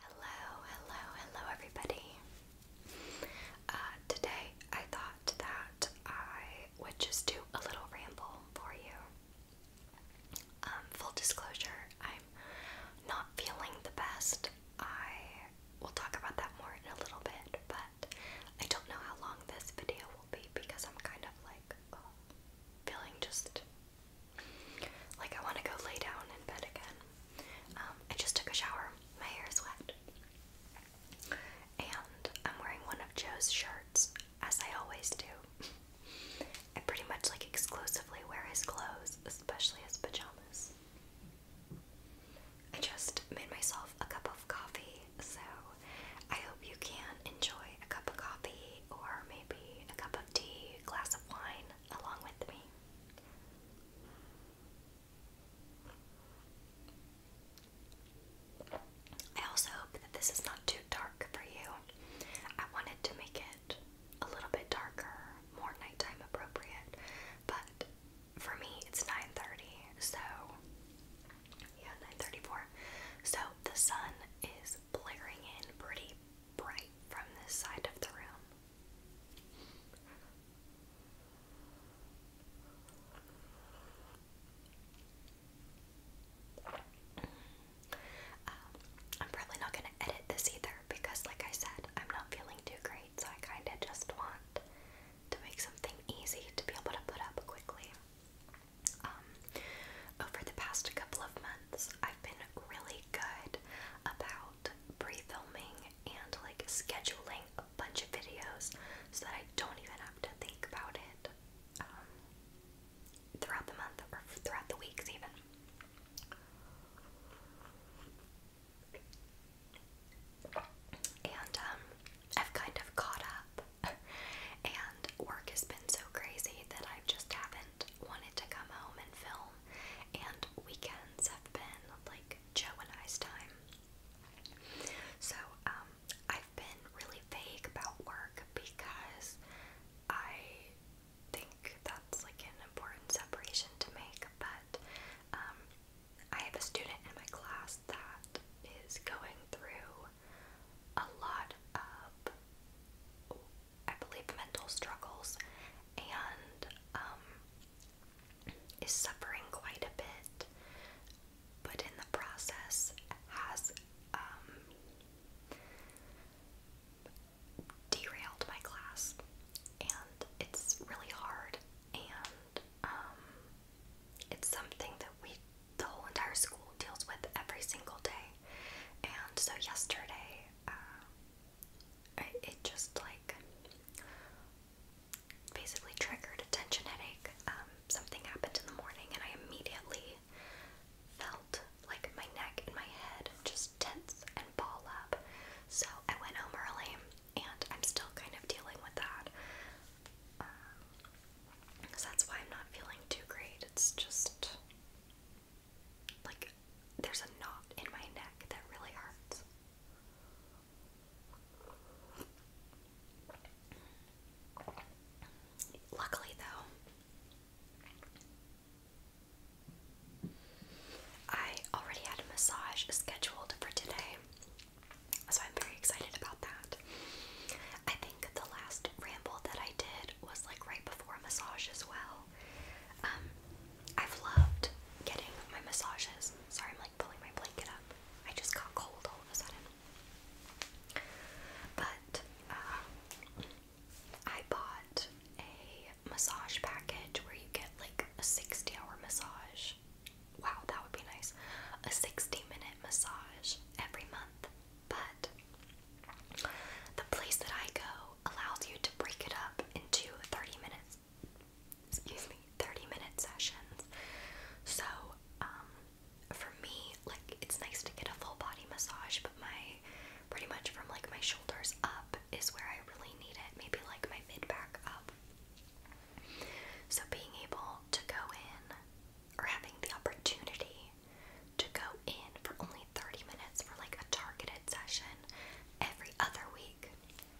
Hello, hello, hello, everybody. Uh, today I thought that I would just do a little ramble for you. Um, full disclosure, I'm not feeling the best. I will talk about that more in a little bit, but I don't know how long this video will be because I'm kind of like uh, feeling just like I want to go lay down in bed again. Um, I just took a shower. My hair is wet. And I'm wearing one of Joe's shirts, as I always do. I pretty much like exclusively wear his clothes, especially his pajamas. I just made myself a cup of coffee, so I hope you can enjoy a cup of coffee or maybe a cup of tea, glass of wine along with me. I also hope that this is not too dark for you. I wanted to make it a little bit darker, more nighttime appropriate, but for me it's 9:30, so yeah, 9:34. So the sun is blaring in pretty bright from this side of the room. Um, I'm probably not going to edit this either because, like I said, I'm not feeling too great, so I kind of just want to make something easy to be able to put up quickly. Um, over the past couple of months, I've been really good about pre-filming and like scheduling a bunch of videos so that I don't even have to think about it um, throughout the month or throughout the weeks even. And um, I've kind of caught up, and work has been so crazy that I just haven't wanted to come home and film and weekends have been like Joe and I's time. So, um, I've been really vague about work because I think that's like an important separation to make, but um, I have a student in my class that is going through a lot of I believe, mental struggles and um, is suffering quite a bit, but in the process has um, derailed my class, and it's really hard, and um, it's something that we the whole entire school deals with every single day. And so yesterday, uh, it just like basically triggered a tension headache. Um, something happened in the morning, and I immediately felt like my neck and my head just tense and ball up. So I went home early, and I'm still kind of dealing with that. Um, so that's why I'm not feeling too great. It's just like there's a knot in my neck that really hurts. Luckily, though, I already had a massage scheduled for today, so I'm very excited about that. I think the last ramble that I did was like right before a massage as well. Um, I've loved getting my massages. Sorry, I'm like pulling my blanket up. I just got cold all of a sudden. But uh, I bought a massage package where you get like a 60 hour massage. Wow, that would be nice. A 60 minute massage every month. But the place that I go allows you to break it up into 30 minute excuse me, 30 minute sessions. So, um, for me, like, it's nice to get a full body massage, but my pretty much from like my shoulders up is where I really need it, maybe like my mid back up. So, being able to go in or having the opportunity to go in for only 30 minutes for like a targeted session every other week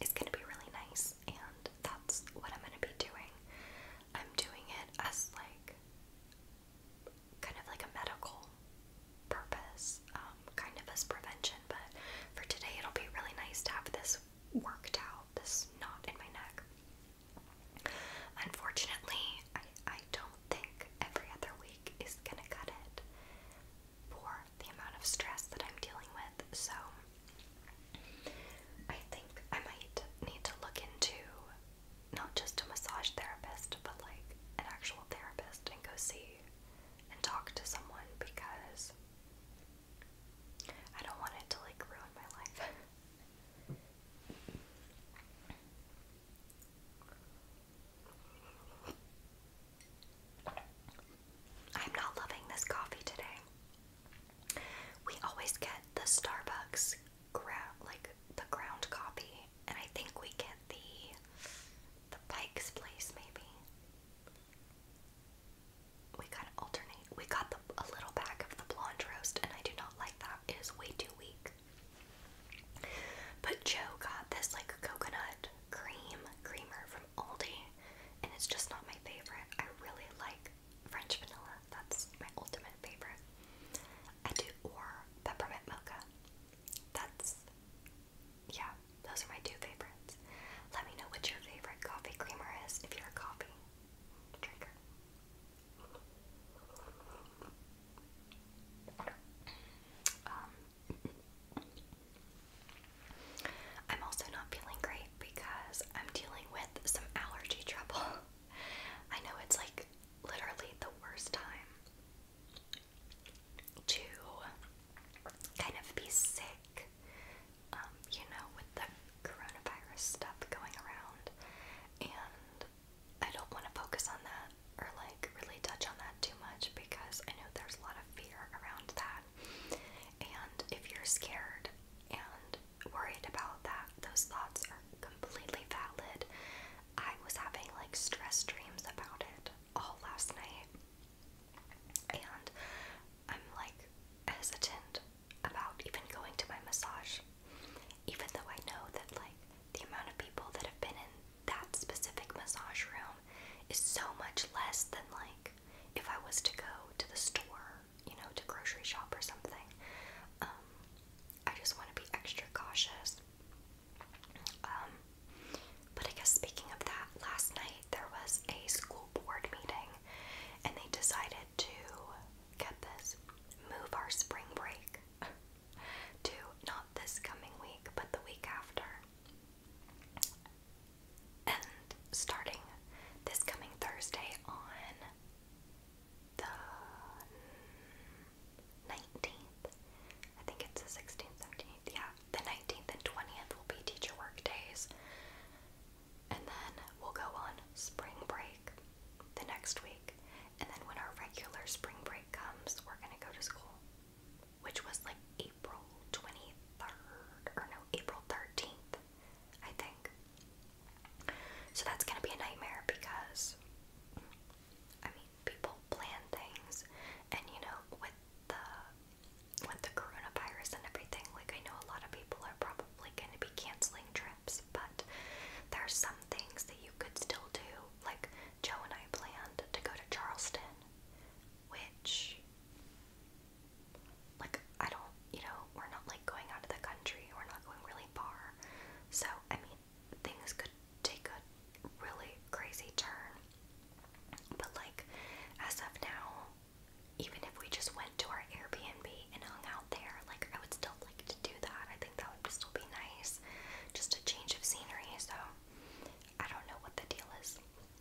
it's going to be really nice, and that's what I'm going to be doing. I'm doing it as like kind of like a medical purpose, um, kind of as prevention, but for today it'll be really nice to have this worked out, this knot in my neck. Unfortunately, I, I don't think every other week is gonna cut it for the amount of stress that I'm dealing with. So I think I might need to look into not just a massage therapist, but like an actual therapist and go see and talk to someone because I don't want it to like ruin my life. I'm not loving this coffee today. We always get the Starbucks ground like the ground coffee, and I think we get the the Pike's Place maybe. We kind of alternate. We got the, a little bag of the blonde roast, and I do not like that. It is way too weak. But Joe got this like coconut cream creamer from Aldi, and it's just not my favorite. I really like French vanilla, that's my ultimate favorite. I do, or peppermint mocha. That's, yeah, those are my two favorites. Let me know what your favorite coffee creamer is if you're a coffee drinker. Um, I'm also not feeling great because I'm dealing with some allergy trouble. I know it's like literally the worst time to kind of be sick, um, you know, with the coronavirus stuff going around, and I don't want to focus on that or like really touch on that too much because I know there's a lot of fear around that. And if you're scared and worried about that, those thoughts are completely valid. I was having like stress dreams about it all last night. And I'm like hesitant about even going to my massage, even though I know that like the amount of people that have been in that specific massage room is so much less than like if I was to go to the store, you know, to grocery shop or something. Um, I just want to be extra cautious. Um, but I guess speaking of that, last night there was a school board meeting and they decided to get this move our spring break to not this coming week, but the week after. And starting this coming Thursday on the 19th, I think it's the 16th, 17th, yeah, the 19th and 20th will be teacher work days. And then we'll go on spring break the next week. And then when our regular spring break comes, we're going to go to school which was like April 23rd, or no, April 13th, I think. So that's gonna be a nightmare because, I mean, people plan things, and you know, with the with the coronavirus and everything, like I know a lot of people are probably gonna be canceling trips, but there are some things that you could still do. Like Joe and I planned to go to Charleston which like I don't, you know, we're not like going out of the country, we're not going really far. So, I mean, things could take a really crazy turn. But like as of now, even if we just went to our Airbnb and hung out there, like I would still like to do that. I think that would still be nice. Just a change of scenery, so I don't know what the deal is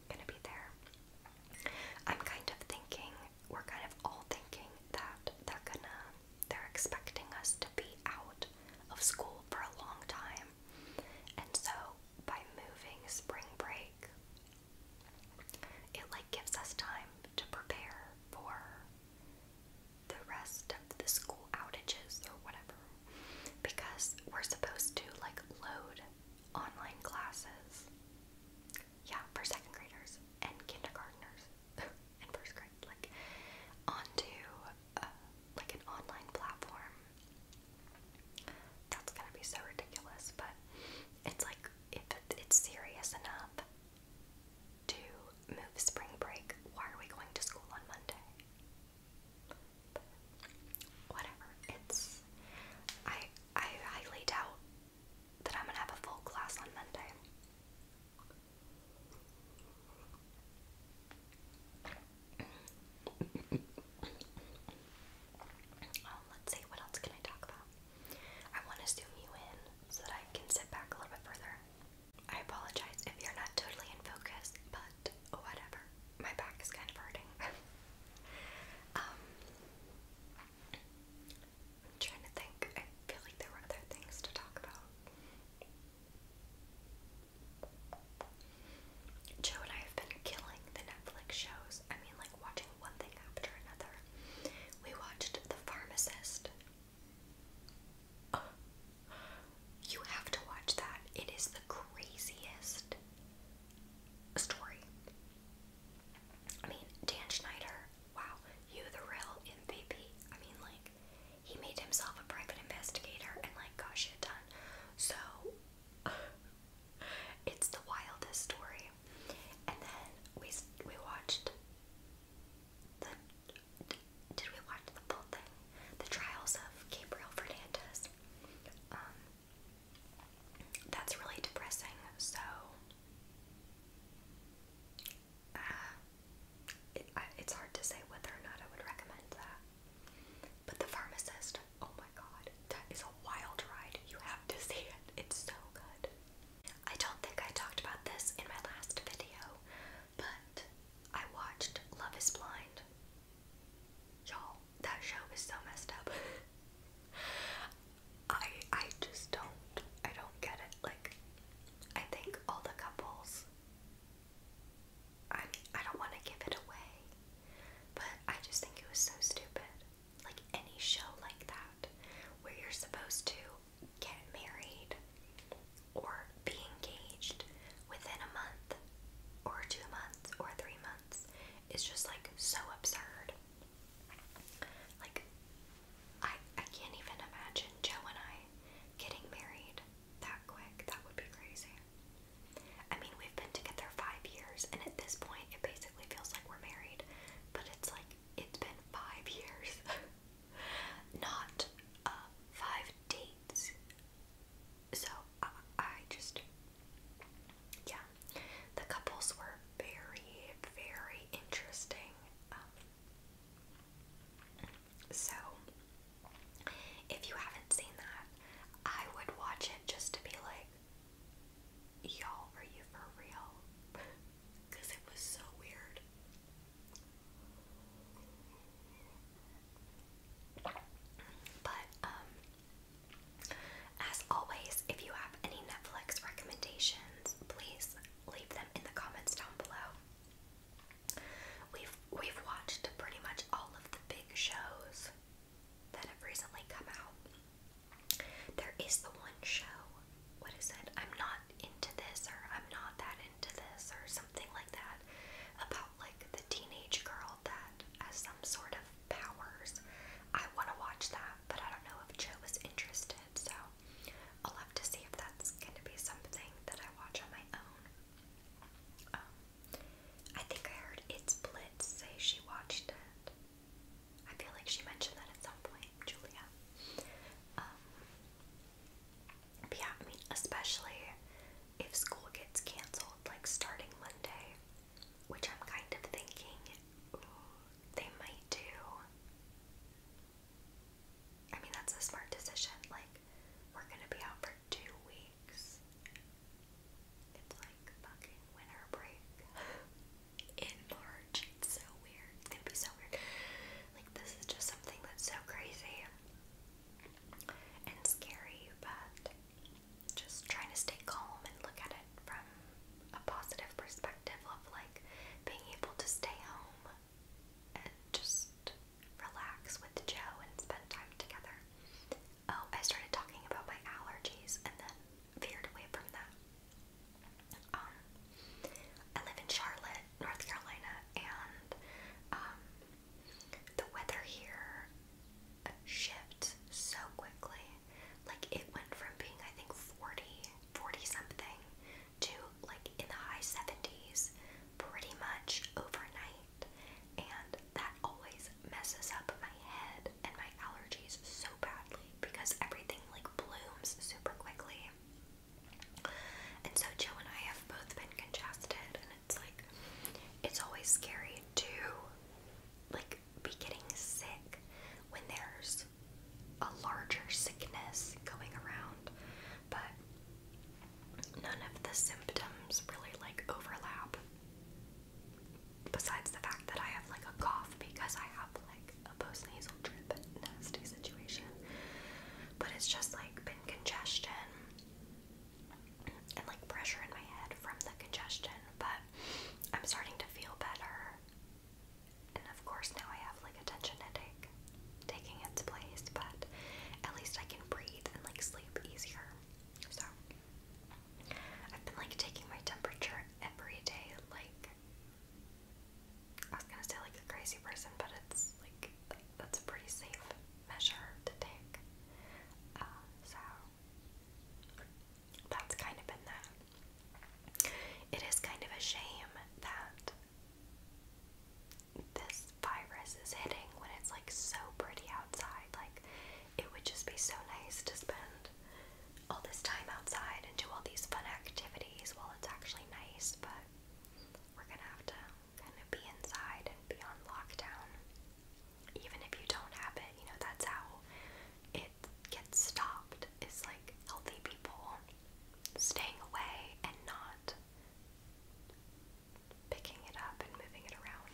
gonna be there. I'm kind of thinking, we're kind of all thinking that they're gonna, they're expecting us to be out of school for a long time. And so by moving spring break, it like gives us time to prepare for the rest of the school outages or whatever because we're supposed to like load online classes. Yeah, for second graders and kindergartners and first grade, like onto uh, like an online platform. That's gonna be so ridiculous, but it's like if it's serious enough to move spring break, why are we going to school on Monday? whatever. It's I I highly doubt that I'm gonna have a full class on Monday. Um, let's see, what else can I talk about? I want to zoom you in so that I can sit back a little bit further. I apologize if you're not totally in focus, but whatever. My back is kind of hurting. Um, I'm trying to think. I feel like there were other things to talk about. Joe and I have been killing the Netflix shows. I mean, like watching one thing after another. We watched The Pharmacist. you have to watch that. It is the craziest story. I mean, Dan Schneider, wow, you the real MVP. I mean, like, he made himself a private investigator and, like, got shit done. So, it's the wildest story. And then we, we watched the. Did we watch the full thing? The trials of Gabriel Fernandez. Um, that's really depressing. So uh, it's hard to say whether or not I would recommend that. But the pharmacist, oh my god, that is a wild ride. You have to see it. It's so good. I don't think I talked about this in my last video, but I watched Love is Blind. you that show was so messed up. I I just don't I don't get it. Like I think all the couples I I don't want to give it away, but I just think it was so stupid. Like any show like that where you're supposed to get married or be engaged within a month or two months or three months it's just like so absurd. Like I I can't even imagine Joe and I getting married that quick. That would be crazy. I mean, we've been together 5 years and at this point it basically feels like we're married, but it's like it's been 5 years. Not uh, 5 dates. So I, just, yeah, the couples were very, very interesting. Um, so if you haven't seen that, I would watch it just to be like, y'all, are you for real? Because it was so weird. But um as always, if you have any Netflix recommendations, please leave them in the comments down below. We've we've watched pretty much all of the big shows that have recently come out. There is the one show, what is it? I'm not into this or I'm not that into this or something like that about like the teenage girl that has some sort of powers. I want to watch that, but I don't know if Joe is interested, so I'll have to see if that's going to be something that I watch on my own. Um, I think I heard It's Blitz say she watched it. I feel like she mentioned that at some point, Julia. Um, yeah, I mean, especially if school gets canceled, like starting Monday, which I'm kind of thinking they might do. I mean, that's a smart decision. Like, we're gonna be out for two weeks. It's like fucking winter break in March. It's so weird. It's going be so weird. Like, this is just something that's so crazy and scary, but just trying to stay calm and look at it from a positive perspective of like being able to stay home and just relax with Joe and spend time together. Oh, I started talking about my allergies and then veered away from that. Um, I live in Charlotte, North Carolina, and um, the weather here shift so quickly. Like it went from being I think 40, 40 something to like in the high 70s pretty much overnight. And that always messes up my head and my allergies so badly because everything like blooms super quickly. And so Joe and I have both been congested and it's like it's always scary too, like be getting sick when there's a larger sickness going around, but none of the symptoms really like overlap. Besides the fact that I have like a cough because I have like a postnasal drip nasty situation, but it's just like been congestion and like pressure in my head from the congestion, but I'm starting to feel better. And of course, now I have like a tension headache taking its place, but at least I can breathe and like sleep easier. So, I've been like taking my temperature every day, like I was gonna say like a crazy person, but it's like that's a pretty safe measure to take. Um, so, that's kind of been that. It is kind of a shame that this virus is hitting when it's like so pretty outside. Like, it would just be so nice to spend all this time outside and do all these fun activities while it's actually nice, but we're gonna have to kind of be inside and be on lockdown even if you don't have it, you know, that's how it gets stopped is like healthy people staying away and not picking it up and moving it around.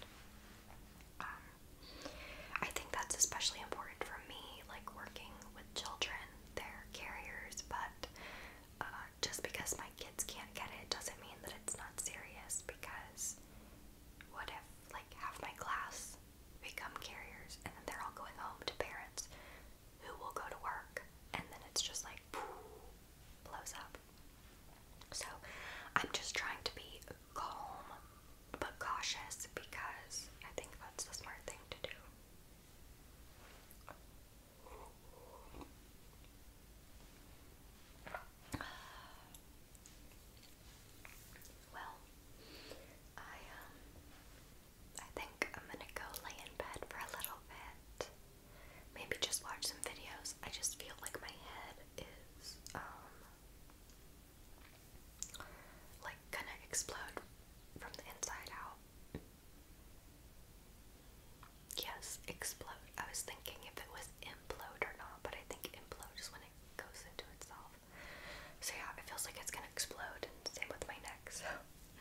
Um, I think that's especially important for me, like working with children. They're carriers, but uh, just because my kids can't get it doesn't mean that it's not serious because what if like half my class become carriers and then they're all going home to parents who will go to work and then it's just like poof, blows up. So I'm just trying to be calm but cautious because I think that's the smart thing to do. Well, I um I think I'm gonna go lay in bed for a little bit. Maybe just watch some videos. I just feel like my head is um like gonna explode from the inside out. Yes, explode. I was thinking if it was implode or not, but I think implode just when it goes into itself. So yeah, it feels like it's gonna explode. Same with my neck, so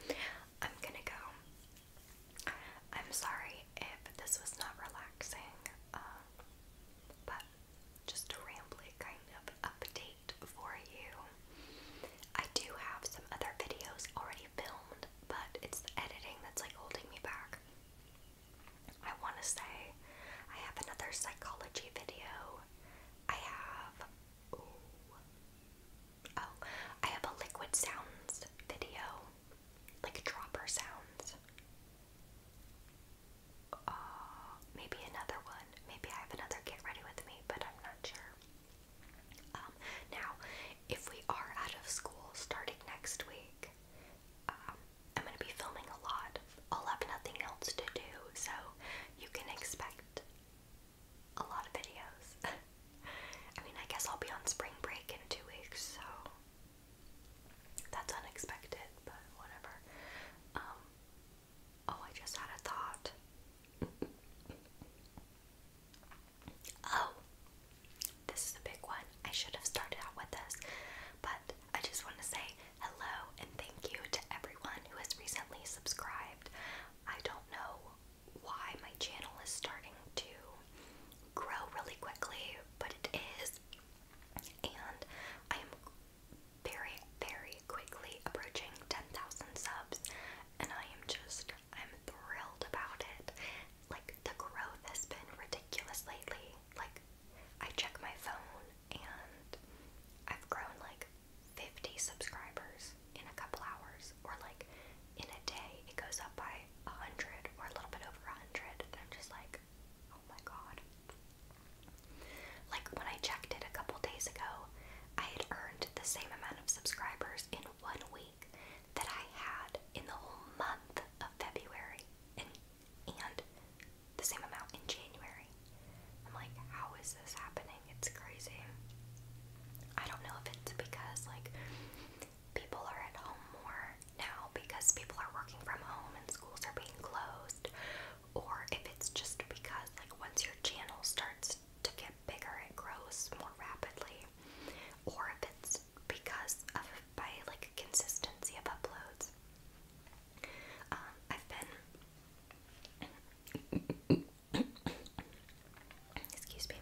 I'm gonna go. I'm sorry if this was not relaxing, um, but just a rambly kind of update for you. I do have some other videos already filmed, but it's the editing that's like holding me back. I want to say I have another psychology video. I have ooh, oh, I have a liquid sounds video, like dropper sounds. Uh, maybe another one. Maybe I have another get ready with me, but I'm not sure. Um, now, if we are out of school starting next week, um, I'm going to be filming a lot. I'll have nothing else to do, so you can expect a lot of videos. I mean, I guess I'll be on spring break in two weeks, so that's unexpected, but whatever. Um, oh, I just had a thought. oh, this is a big one. I should have started out with this, but I just want to say hello and thank you to everyone who has recently subscribed. I don't know why my channel is starting to grow really quickly, but it is. And I am very, very quickly approaching 10,000 subs, and I am just, I'm thrilled about it. Like, the growth has been ridiculous lately. Like, I check my phone and I've grown like 50 subscribers in a couple hours or like in a day it goes up by 100 or a little bit over 100 I'm just like oh my god. Like when I checked it a couple days ago, I had earned the same amount of subscribers in one week that I had in the whole month of February and the same amount in January. I'm like, how is this happening? It's crazy. I don't know if it's because like people are at home more now because people are working from home and schools are being closed, or if it's just because like once your channel starts to get bigger, it grows more rapidly, or if it's because of by like consistency of uploads. Um, I've been, excuse me,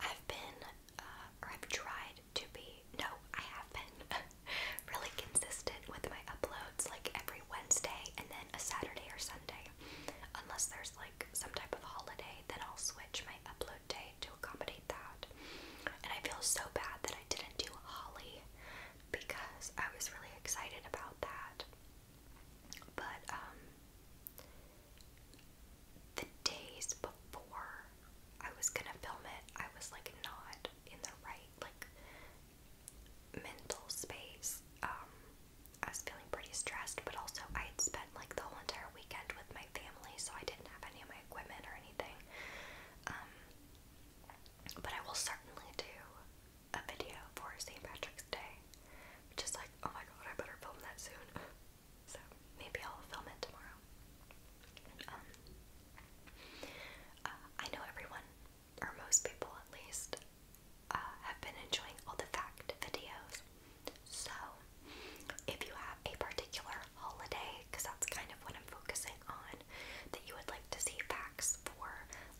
I've been, uh, or I've tried to be, no, I have been really consistent with my uploads like every Wednesday and then a Saturday or Sunday. Unless there's like some type of holiday, then I'll switch my upload day to accommodate that. And I feel so bad that I didn't do Holly because I was really excited about that. But um, the days before I was going to film it, I was like not in the right like mental space. Um, I was feeling pretty stressed, but also I had spent like the whole entire weekend with my family, so I didn't have any of my equipment or anything. Um, but I will certainly do a video for St. Patrick's Day. Which like, oh my god, I better film that soon. so maybe I'll film it tomorrow. Um, uh, I know everyone, or most people at least, uh, have been enjoying all the fact videos. So if you have a particular holiday, because that's kind of what I'm focusing that you would like to see packs for,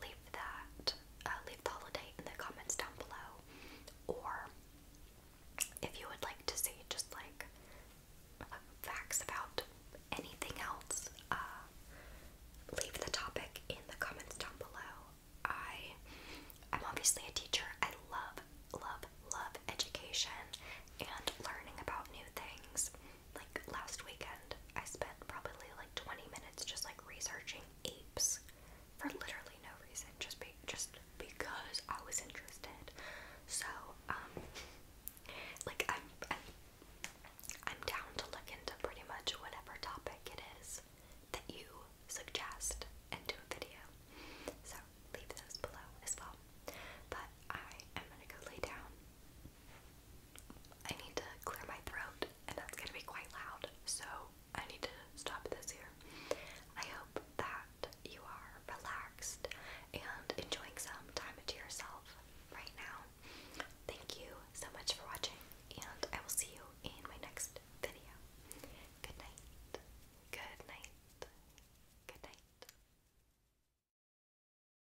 leave that, uh, leave the holiday in the comments down below. Or if you would like to see just like facts about anything else, uh, leave the topic in the comments down below. I I'm obviously a teacher. I love, love, love education and learning about new things like last weekend, I spent probably like 20 minutes just like researching apes for literally no reason, just be just because I was interested. So, um, like I'm, I'm down to look into pretty much whatever topic it is that you suggest and do a video. So leave those below as well. But I am gonna go lay down I need to clear my throat, and that's gonna be quite loud, so I need to stop this here. I hope that you are relaxed and enjoying some time to yourself right now. Thank you so much for watching, and I will see you in my next video. Good night. Good night. Good night.